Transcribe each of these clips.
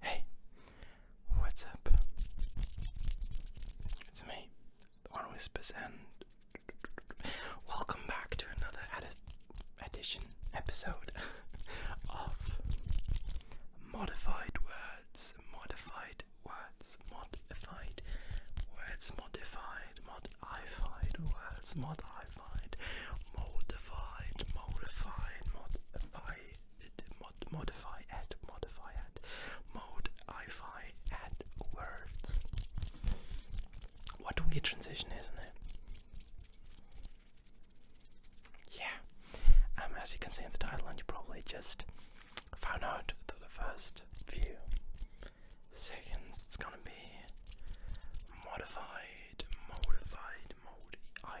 Hey, what's up? It's me, One Whispers, and welcome back to another edit edition episode of Modified Words, Modified Words, Modified Words, Modified, Modified Words, Modified modified, modified, modified, modify, mod, modify at, modify at, modify at words. What a weird transition, isn't it? Yeah, um, as you can see in the title, and you probably just found out through the first few seconds, it's gonna be modified, modified, modi I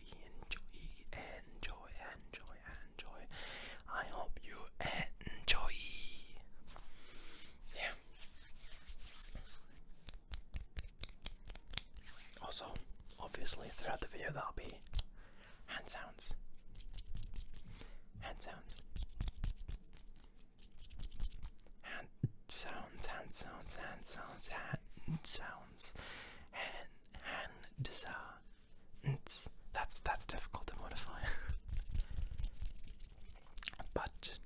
enjoy, enjoy, enjoy, enjoy, enjoy. I hope you enjoy. Yeah. Also, obviously, throughout the video, that'll be hand sounds. Hand sounds. Hand sounds, hand sounds, hand sounds, hand sounds sounds. Han, han, desa, That's that's difficult to modify. but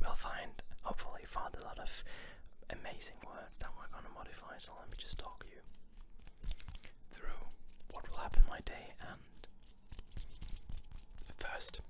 we'll find, hopefully, find a lot of amazing words that we're gonna modify. So let me just talk you through what will happen my day and first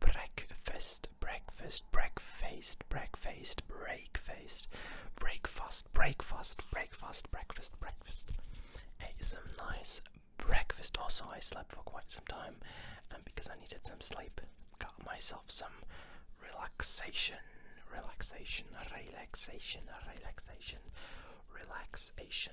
breakfast, breakfast, breakfast, breakfast, breakfast, breakfast, breakfast, breakfast, breakfast, breakfast. Ate some nice breakfast. Also, I slept for quite some time, and because I needed some sleep, got myself some relaxation, relaxation, relaxation, relaxation, relaxation,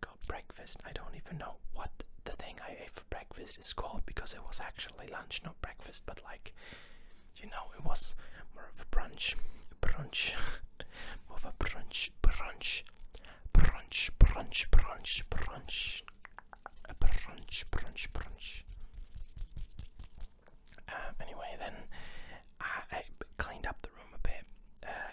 got breakfast. I don't even know what the thing I ate for breakfast is called because it was actually lunch, not breakfast, but like you know, it was more of a brunch, brunch, more of a brunch, brunch, brunch, brunch, brunch, brunch, brunch, brunch, um, anyway, then I, cleaned up the room a bit. Uh,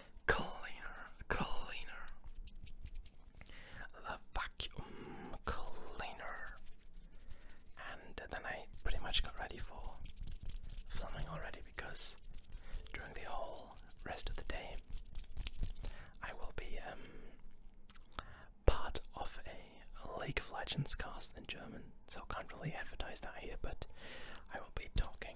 cleaner, cleaner, the vacuum cleaner. And then I pretty much got ready for filming already because during the whole rest of the day I will be um, part of a League of Legends cast in German, so I can't really advertise that here, but I will be talking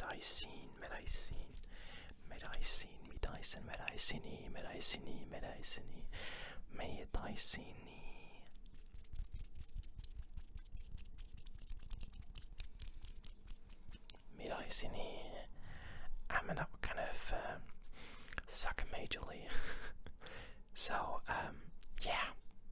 medicine, medicine, medicine, medicine, medicine, medicine, medicine, medicine, medicine. Medicine. Um, and that would kind of um, suck majorly. so, um, yeah,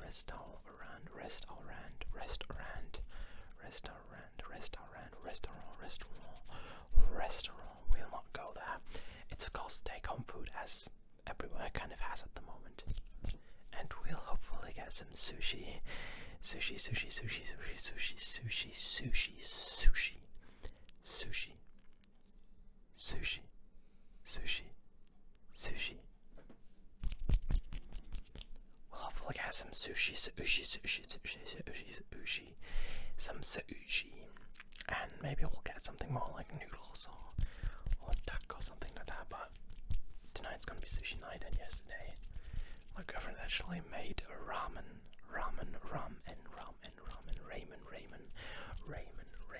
restaurant, restaurant, restaurant, restaurant, restaurant, restaurant, restaurant, restaurant, restaurant. We'll not go there. It's called take home food, as everywhere kind of has at the moment. And we'll hopefully get some sushi, sushi, sushi, sushi, sushi, sushi, sushi, sushi, sushi, sushi, sushi, sushi, Sushi. We'll have a look at some sushi, sushi, sushi, sushi, sushi, sushi, some sushi, and maybe we'll get something more like noodles or or duck or something like that. But tonight's gonna be sushi night, and yesterday my girlfriend actually made a ramen, ramen, ramen, ramen, ramen, ramen, ramen, ramen, ramen, ramen,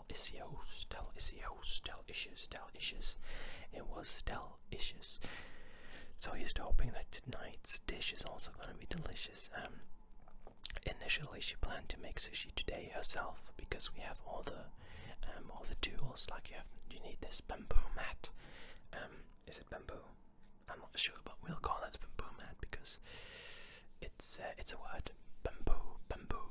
Stell Isio, Stell Isio, Issues, Stell Issues. It was Stell Issues. So he's hoping that tonight's dish is also going to be delicious. Um, initially, she planned to make sushi today herself because we have all the um, all the tools. Like you have, you need this bamboo mat. Um, is it bamboo? I'm not sure, but we'll call it a bamboo mat because it's uh, it's a word. Bamboo, bamboo,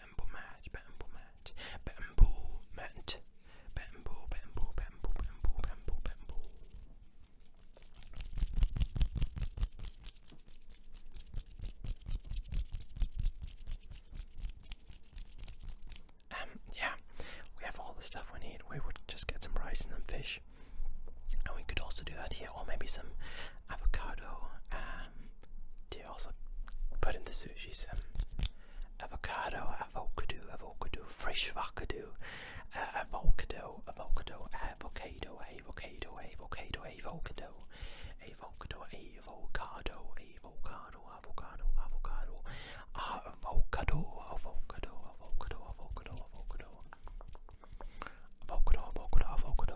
yeah, we have all the stuff we need. We would just get some rice and some fish, and we could also do that here, or maybe some avocado um, do you also put in the sushis? Um, avocado, avocado, avocado, fresh avocado, uh, avocado, avocado, avocado, avocado, avocado, avocado, avocado, avocado, avocado, avocado, avocado, avocado, avocado, avocado, avocado, avocado, avocado, avocado, avocado.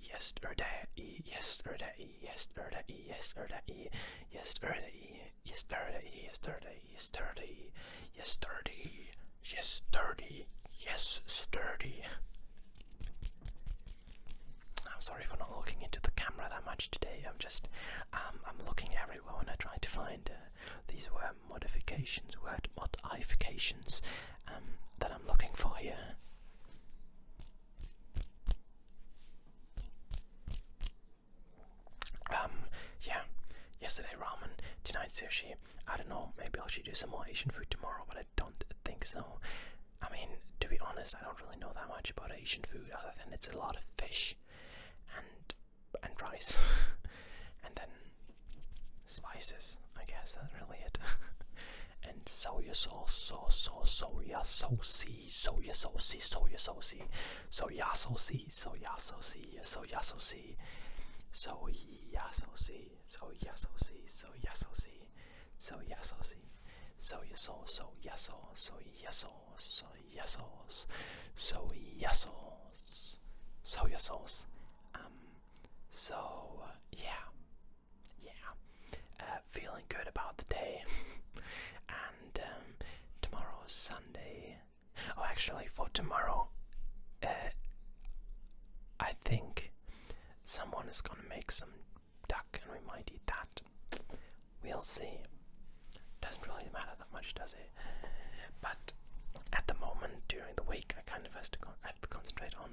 Yes, Yes, Yes, Yes, yesterday, Yes, yesterday, Yes, yesterday, Yes, yesterday, Yes, yesterday, Yes, yesterday. I'm sorry for not looking into the camera that much today. I'm just, um, I'm looking everywhere when I try to find these word modifications, word modifications um, that I'm looking for here. Um, yeah, yesterday ramen, tonight sushi. I don't know, maybe I will actually do some more Asian food tomorrow, but I don't think so. I mean, to be honest, I don't really know that much about Asian food other than it's a lot of fish and and rice and then spices. I guess that's really it. and soya sauce, sauce, sauce, soya sauce, soya sauce, soya sauce, soya sauce, soya sauce, soya sauce, soya sauce, soya sauce, soya sauce, soya sauce, soya sauce, soya sauce, soya sauce, soya sauce, soya sauce, soya sauce. Um. So yeah yeah, uh, feeling good about the day. and um, tomorrow is Sunday. Oh, actually, for tomorrow, uh, I think someone is gonna make some duck and we might eat that. We'll see. Doesn't really matter that much, does it? But at the moment, during the week, I kind of has to con have to concentrate on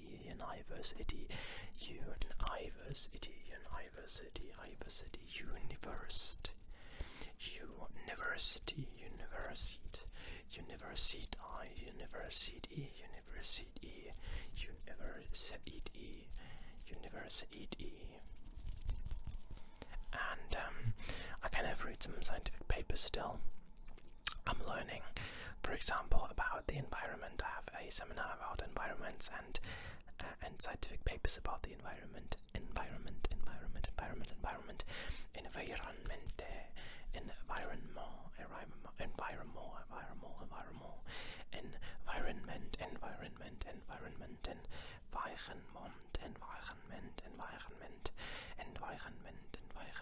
University, University, University, University, University, University, University, University, University, I, University, University, University, University. And um, I kind of read some scientific papers still. I'm learning, for example, about the environment. I have a seminar about environments and uh, and scientific papers about the environment, environment, environment, environment, environment, environment, environment, environment, environment, environment, environment, environment, environment, environment, environment, environment, environment, environment, environment,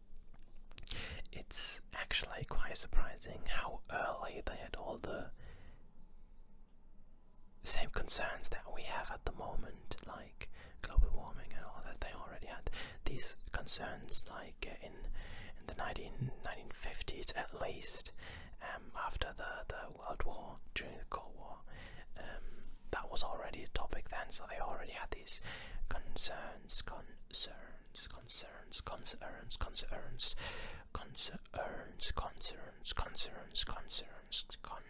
it's actually quite surprising how early they had all the same concerns that we have at the moment, like global warming and all that. They already had these concerns, like uh, in the 1950s at least, um, after the the World War during the Cold War. Um, that was already a topic then, so they already had had these concerns, concerns, concerns, concerns, concerns, concerns, concerns, concerns, concerns, con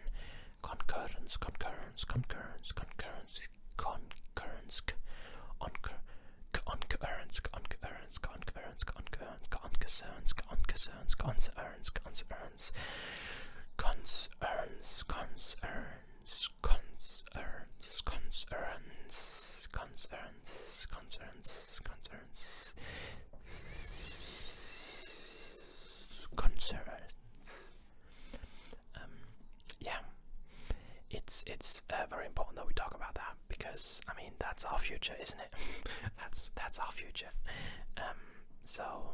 concurrence, concurrence, concurrence, concurrence, concurrence, concurrence, concurrence, concurrence, concurrence, concurrence, concerns, concerns, concerns, concerns, concerns, concerns, concerns, concerns, concerns, concerns, concerns. yeah, it's it's uh, very important that we talk about that because I mean that's our future, isn't it? that's that's our future. Um, so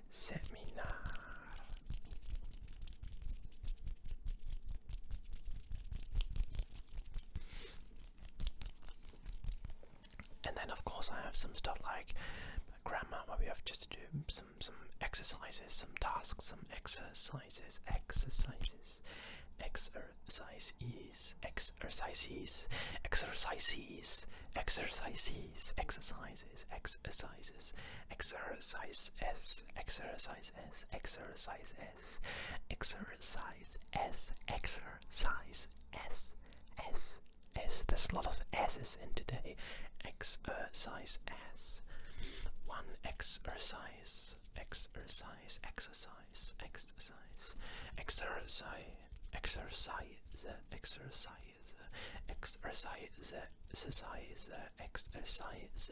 Seminar. And then of course I have some stuff like grammar where we have just do some some exercises, some tasks, some exercises, exercises, exercises, exercises, exercises, exercises, exercises, exercises, exercises, exercise s, exercise s, exercise s, exercise s, exercise s, s, s. There's a lot of s's in today. Exercise s. One exercise, exercise, exercise, exercise, exercise, exercise, exercise exercise, exercise, exercise, exercise,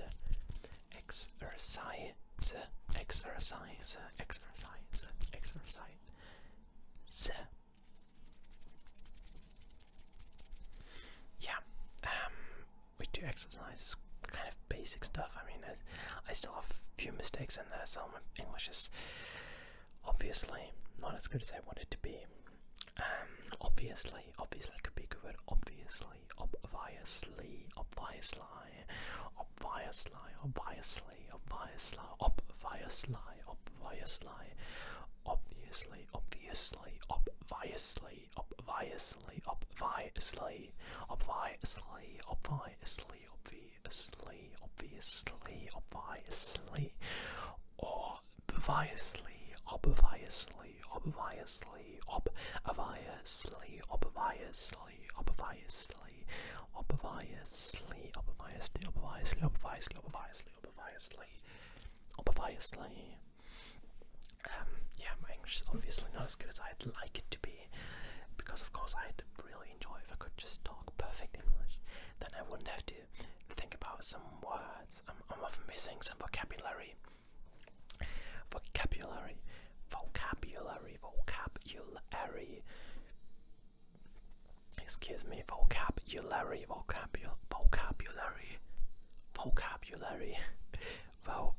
exercise, exercise, exercise, exercise. Yeah, um, we do exercises, kind of basic stuff. I mean, I, I still have a few mistakes in there, so my English is Obviously, not as good as I want it to be. Um, obviously, obviously could be a good word. Obviously, obviously, obviously, obviously, obviously, obviously, obviously, obviously, obviously, obviously, obviously, obviously, obviously, obviously, obviously, obviously, obviously, obviously, obviously, or obviously, obviously, obviously, obviously, obviously, obviously, obviously, obviously, obviously, obviously, obviously, obviously, obviously. Um, yeah, my English is obviously not as good as I'd like it to be, because of course I'd really enjoy if I could just talk perfect English. Then I wouldn't have to think about some words. I'm, I'm missing some vocabulary. Vocabulary, vocabulary, vocabulary. Excuse me, vocabulary, vocabulary, vocabulary, vocabulary, vocabulary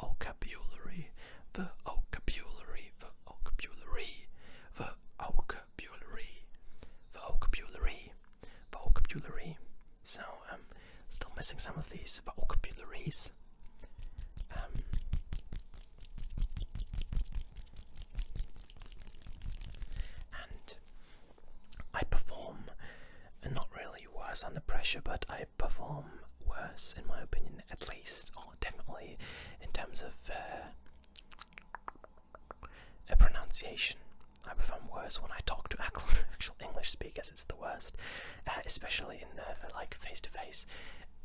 vocabulary, the vocabulary, the vocabulary, the vocabulary, the vocabulary, the vocabulary. So I'm um, still missing some of these vocabularies. Um, and I perform, not really worse under pressure, but I perform worse, in my opinion, at least, or definitely in terms of uh, a pronunciation. I perform worse when I talk to actual English speakers. It's the worst, uh, especially in uh, like face to face.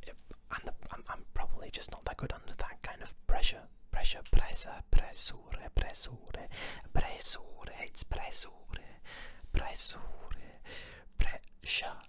It, I'm, the, I'm, I'm probably just not that good under that kind of pressure. Pressure, pressa, pressure, pressure, pressure, it's pressure, pressure, pressure,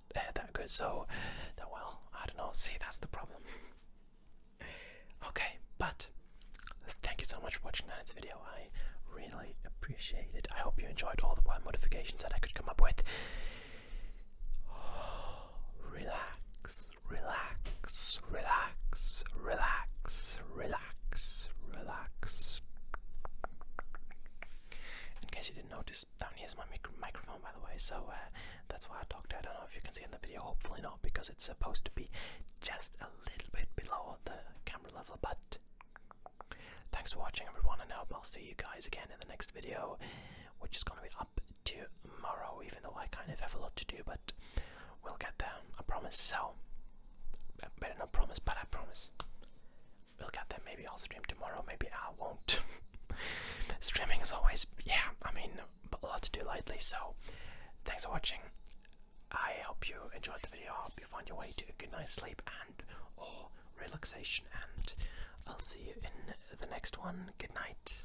that good. So, that, well, I don't know. See, that's the problem. okay, but thank you so much for watching tonight's video. I really appreciate it. I hope you enjoyed all the wild modifications that I could come up with. relax, relax, relax, relax, relax, relax. In case you didn't notice down here is my microphone, by the way. So uh, that's why I talked. I don't know if you can see in the video. Hopefully not, because it's supposed to be just a little bit below the camera level. But thanks for watching, everyone, and I hope I'll see you guys again in the next video, which is gonna be up tomorrow. Even though I kind of have a lot to do, but we'll get there. I promise. So better not promise, but I promise look at them. Maybe I'll stream tomorrow. Maybe I won't. Streaming is always, yeah, I mean, a lot to do lately. So, thanks for watching. I hope you enjoyed the video. I hope you find your way to a good night sleep and or relaxation. And I'll see you in the next one. Good night.